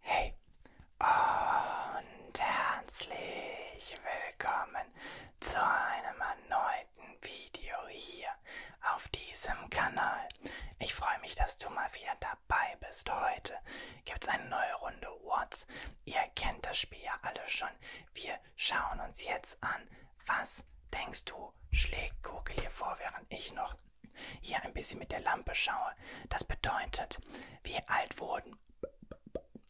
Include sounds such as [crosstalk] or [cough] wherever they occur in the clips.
Hey und herzlich willkommen zu einem erneuten Video hier auf diesem Kanal. Ich freue mich, dass du mal wieder dabei bist. Heute gibt es eine neue Runde What's. Ihr kennt das Spiel ja alle schon. Wir schauen uns jetzt an, was denkst du, schlägt Google hier vor, während ich noch hier ein bisschen mit der Lampe schaue. Das bedeutet, wir alt wurden.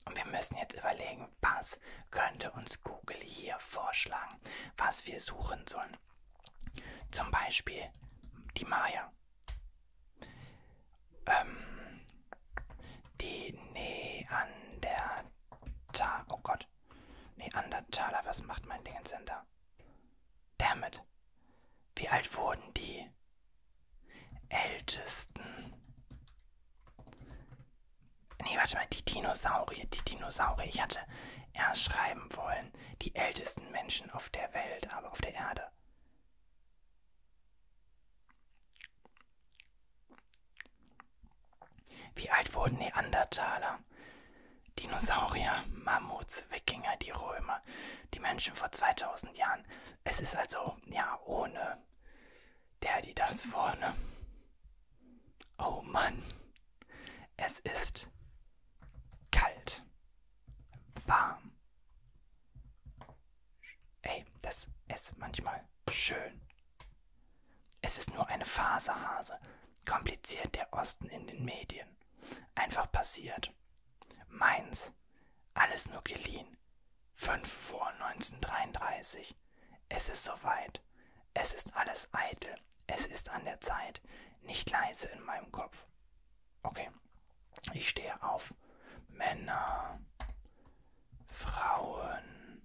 Und wir müssen jetzt überlegen, was könnte uns Google hier vorschlagen, was wir suchen sollen. Zum Beispiel die Maya. Ähm, die Neandertaler. Oh Gott. Neandertaler, was macht mein Ding jetzt denn da? Damit. Wie alt wurden die Ältesten? Nee, warte mal, die Dinosaurier, die Dinosaurier. Ich hatte erst schreiben wollen, die ältesten Menschen auf der Welt, aber auf der Erde. Wie alt wurden Neandertaler? Dinosaurier, Mammuts, Wikinger, die Römer, die Menschen vor 2000 Jahren. Es ist also, ja, ohne der, die das vorne. Oh Mann, es ist kalt, warm. Ey, das ist manchmal schön. Es ist nur eine Faserhase, kompliziert der Osten in den Medien sein. Einfach passiert. Meins. Alles nur geliehen. 5 Uhr 1933. Es ist soweit. Es ist alles eitel. Es ist an der Zeit. Nicht leise in meinem Kopf. Okay. Ich stehe auf. Männer. Frauen.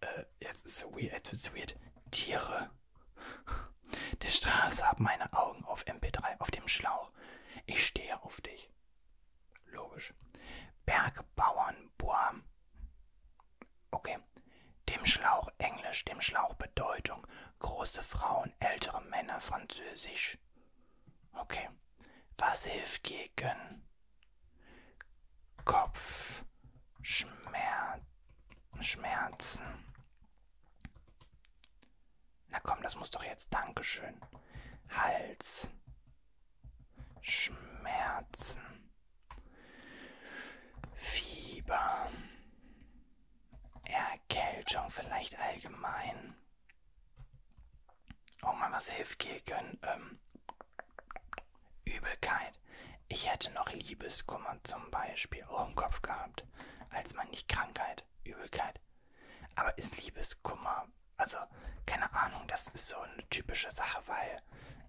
Äh, jetzt ist so weird, it's weird. Tiere. Der Straße haben meine Augen auf MP3, auf dem Schlauch. Ich stehe auf dich. Logisch. Bergbauern, boah. Okay. Dem Schlauch Englisch, dem Schlauch Bedeutung. Große Frauen, ältere Männer, Französisch. Okay. Was hilft gegen Kopfschmerzen. Na komm, das muss doch jetzt. Dankeschön. Hals. Schmerzen. Fieber. Erkältung vielleicht allgemein. Oh Mann, was hilft gegen ähm, Übelkeit. Ich hätte noch Liebeskummer zum Beispiel auch im Kopf gehabt, als man nicht Krankheit, Übelkeit. Aber ist Liebeskummer, also keine Ahnung, das ist so eine typische Sache, weil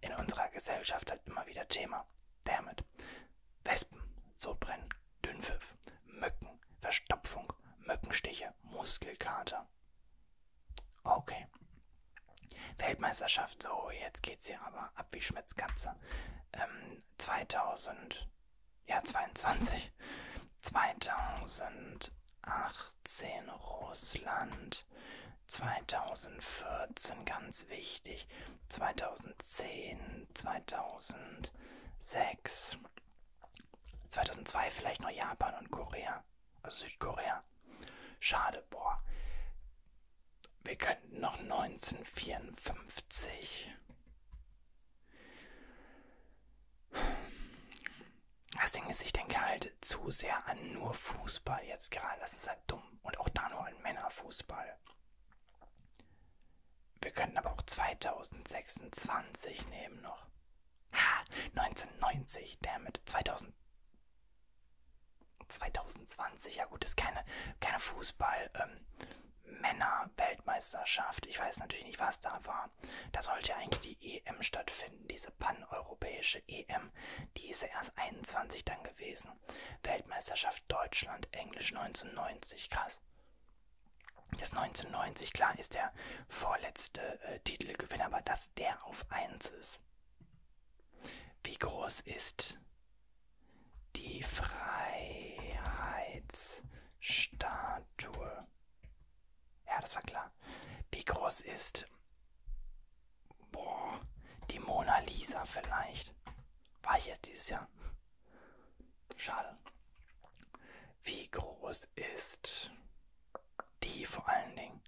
in unserer Gesellschaft halt immer wieder Thema. Damit. Wespen, Sodbrennen, Dünnpfiff, Mücken, Verstopfung, Mückenstiche, Muskelkater. Okay. Weltmeisterschaft, so, jetzt geht's hier aber ab wie Schmitz Katze. Ähm, 2000, ja, 22. 2018 Russland. 2014 ganz wichtig. 2010, 2006. 2002 vielleicht noch Japan und Korea also Südkorea. Schade, boah. Wir könnten noch 1954. Das Ding ist, ich denke halt zu sehr an nur Fußball jetzt gerade. Das ist halt dumm. Und auch da nur an Männerfußball. Wir könnten aber auch 2026 nehmen noch. Ha, 1990, damit. 2000. 2020, ja gut, ist keine, keine Fußball-Männer-Weltmeisterschaft. Ähm, ich weiß natürlich nicht, was da war. Da sollte ja eigentlich die EM stattfinden, diese paneuropäische EM. Die ist ja erst 21 dann gewesen. Weltmeisterschaft Deutschland, Englisch 1990, krass. Das 1990, klar, ist der vorletzte äh, Titelgewinner, aber dass der auf 1 ist. Wie groß ist die Freiheitsstatue? Ja, das war klar. Wie groß ist boah, die Mona Lisa vielleicht? War ich erst dieses Jahr? Schade. Wie groß ist die vor allen Dingen.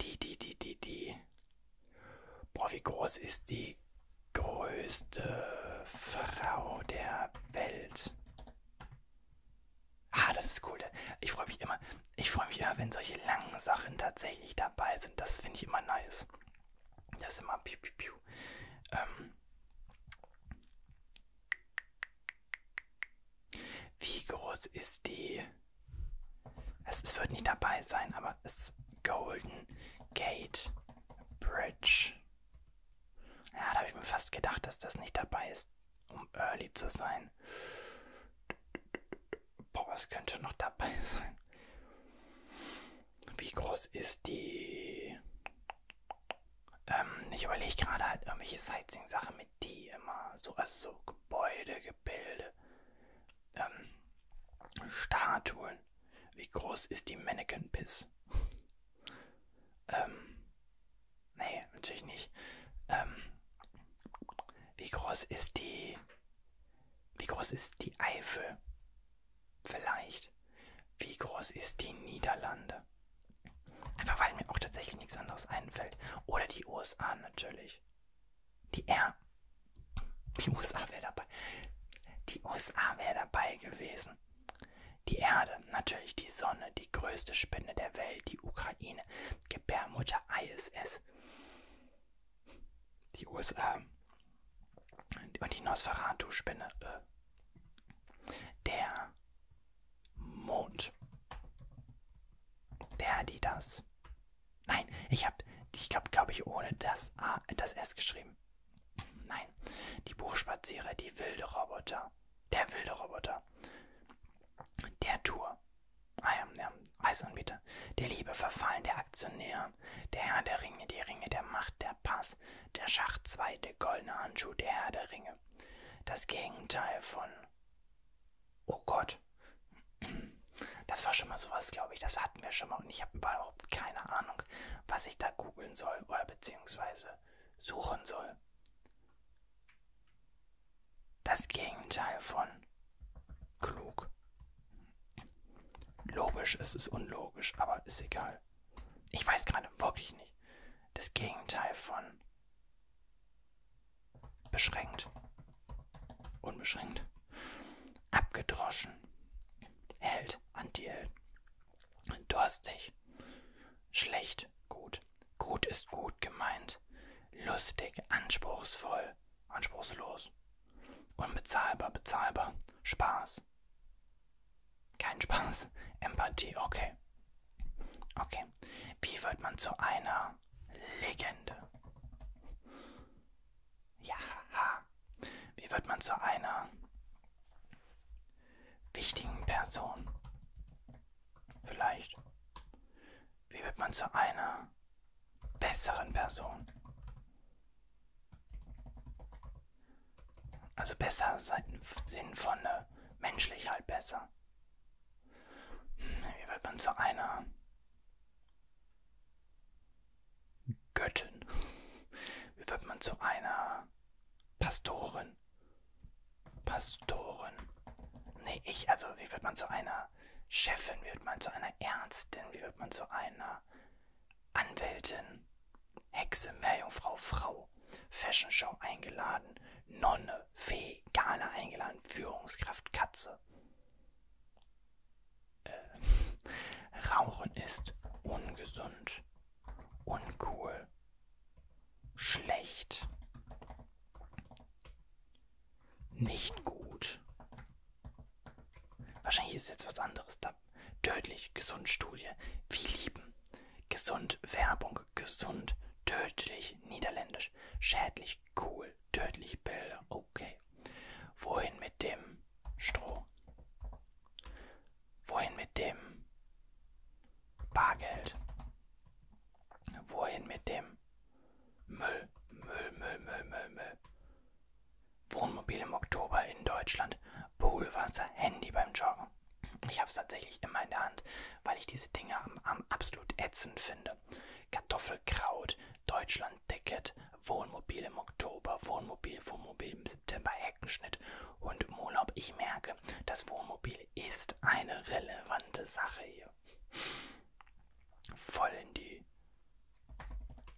Die, die, die, die, die. Boah, wie groß ist die größte Frau der Welt? Ah, das ist cool. Ich freue mich immer. Ich freue mich immer, wenn solche langen Sachen tatsächlich dabei sind. Das finde ich immer nice. Das ist immer piu, piu, piu. Ähm. Wie groß ist die? Es, es wird nicht dabei sein, aber es Golden Gate Bridge. Ja, da habe ich mir fast gedacht, dass das nicht dabei ist, um early zu sein. Boah, was könnte noch dabei [laughs] sein? Wie groß ist die? Ähm, ich überlege gerade halt irgendwelche Sightseeing-Sachen damit die immer so, also so Gebäude, Gebilde, ähm, Statuen. Wie groß ist die Mannequin Piss? ähm, nee, natürlich nicht. Ähm, wie groß ist die, wie groß ist die Eifel? Vielleicht. Wie groß ist die Niederlande? Einfach weil mir auch tatsächlich nichts anderes einfällt. Oder die USA natürlich. Die R. Die USA wäre dabei. Die USA wäre dabei gewesen. Die Erde, natürlich die Sonne, die größte Spinne der Welt, die Ukraine, Gebärmutter ISS. Die USA. Und die Nosferatu-Spinne. Äh. Der Mond. Der die das. Nein, ich habe, ich glaube, glaube ich, ohne das A, das S geschrieben. Nein, die Buchspazierer, die wilde Roboter. Der wilde Roboter. Der Tour. Ah ja, ja, Reisanbieter. Der Liebe verfallen, der Aktionär. Der Herr der Ringe, die Ringe der Macht, der Pass. Der Schach 2, der goldene Handschuh, der Herr der Ringe. Das Gegenteil von Oh Gott. Das war schon mal sowas, glaube ich. Das hatten wir schon mal. Und ich habe überhaupt keine Ahnung, was ich da googeln soll oder beziehungsweise suchen soll. Das Gegenteil von klug. Logisch ist es unlogisch, aber ist egal. Ich weiß gerade wirklich nicht. Das Gegenteil von Beschränkt. Unbeschränkt. Abgedroschen. Held. Anti-Held. Durstig. Schlecht. Gut. Gut ist gut gemeint. Lustig. Anspruchsvoll. Anspruchslos. Unbezahlbar. Bezahlbar. Spaß. Kein Spaß. Empathie. Okay. Okay. Wie wird man zu einer Legende? Ja. Wie wird man zu einer wichtigen Person? Vielleicht. Wie wird man zu einer besseren Person? Also besser im Sinn von ne, menschlich halt besser. Hm, wie wird man zu einer Göttin? Wie wird man zu einer Pastorin? Pastorin. Nee, ich, also wie wird man zu einer Chefin? Wie wird man zu einer Ärztin? Wie wird man zu einer Anwältin? Hexe, Meerjungfrau, Frau? Show, Fashion Show eingeladen, Nonne, Fee, Ghana eingeladen, Führungskraft, Katze. Äh, [laughs] Rauchen ist ungesund, uncool, schlecht, nicht gut. Wahrscheinlich ist jetzt was anderes da. Tödlich, gesund Studie. Wie lieben. Gesund, Werbung, gesund, tödlich, niederländisch, schädlich, cool, tödlich, Bilder, okay. Wohin mit dem Stroh? Wohin mit dem Bargeld? Wohin mit dem Müll, Müll, Müll, Müll, Müll, Müll? Wohnmobil im Oktober in Deutschland, Poolwasser, Handy beim Joggen. Ich habe es tatsächlich immer in der Hand, weil ich diese Dinge am, am absolut ätzend finde. Kartoffelkraut, Deutschland-Ticket, Wohnmobil im Oktober, Wohnmobil, Wohnmobil im September, Heckenschnitt und im Urlaub. Ich merke, das Wohnmobil ist eine relevante Sache hier. Voll in die.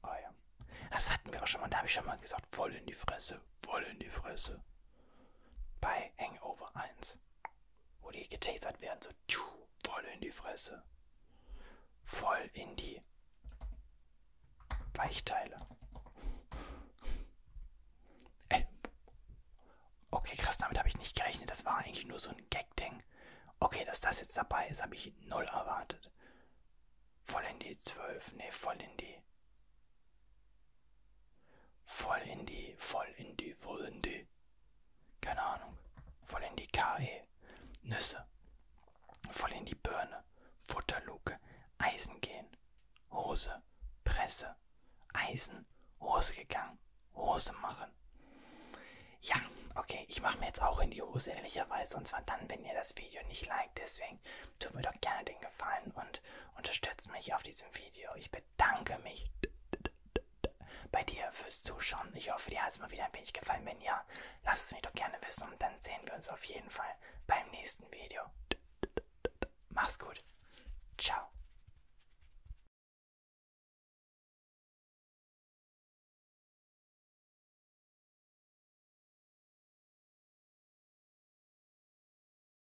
Oh ja. Ah, das hatten wir auch schon mal, da habe ich schon mal gesagt, voll in die Fresse, voll in die Fresse. Bei Hangover 1 wo die getasert werden, so tschu, voll in die Fresse. Voll in die Weichteile. Ey. Äh, okay, krass, damit habe ich nicht gerechnet. Das war eigentlich nur so ein Gag-Ding. Okay, dass das jetzt dabei ist, habe ich null erwartet. Voll in die 12, nee, voll in die Voll in die, voll in die, voll in die. Keine Ahnung. Voll in die KE. Nüsse. Voll in die Birne. Futterluke. Eisen gehen. Hose. Presse. Eisen. Hose gegangen. Hose machen. Ja, okay, ich mache mir jetzt auch in die Hose, ehrlicherweise. Und zwar dann, wenn ihr das Video nicht liked. Deswegen tut mir doch gerne den Gefallen und unterstützt mich auf diesem Video. Ich bin bedanke mich bei dir fürs Zuschauen. Ich hoffe, dir hat es mal wieder ein wenig gefallen. Wenn ja, lass es mich doch gerne wissen und dann sehen wir uns auf jeden Fall beim nächsten Video. Mach's gut. Ciao.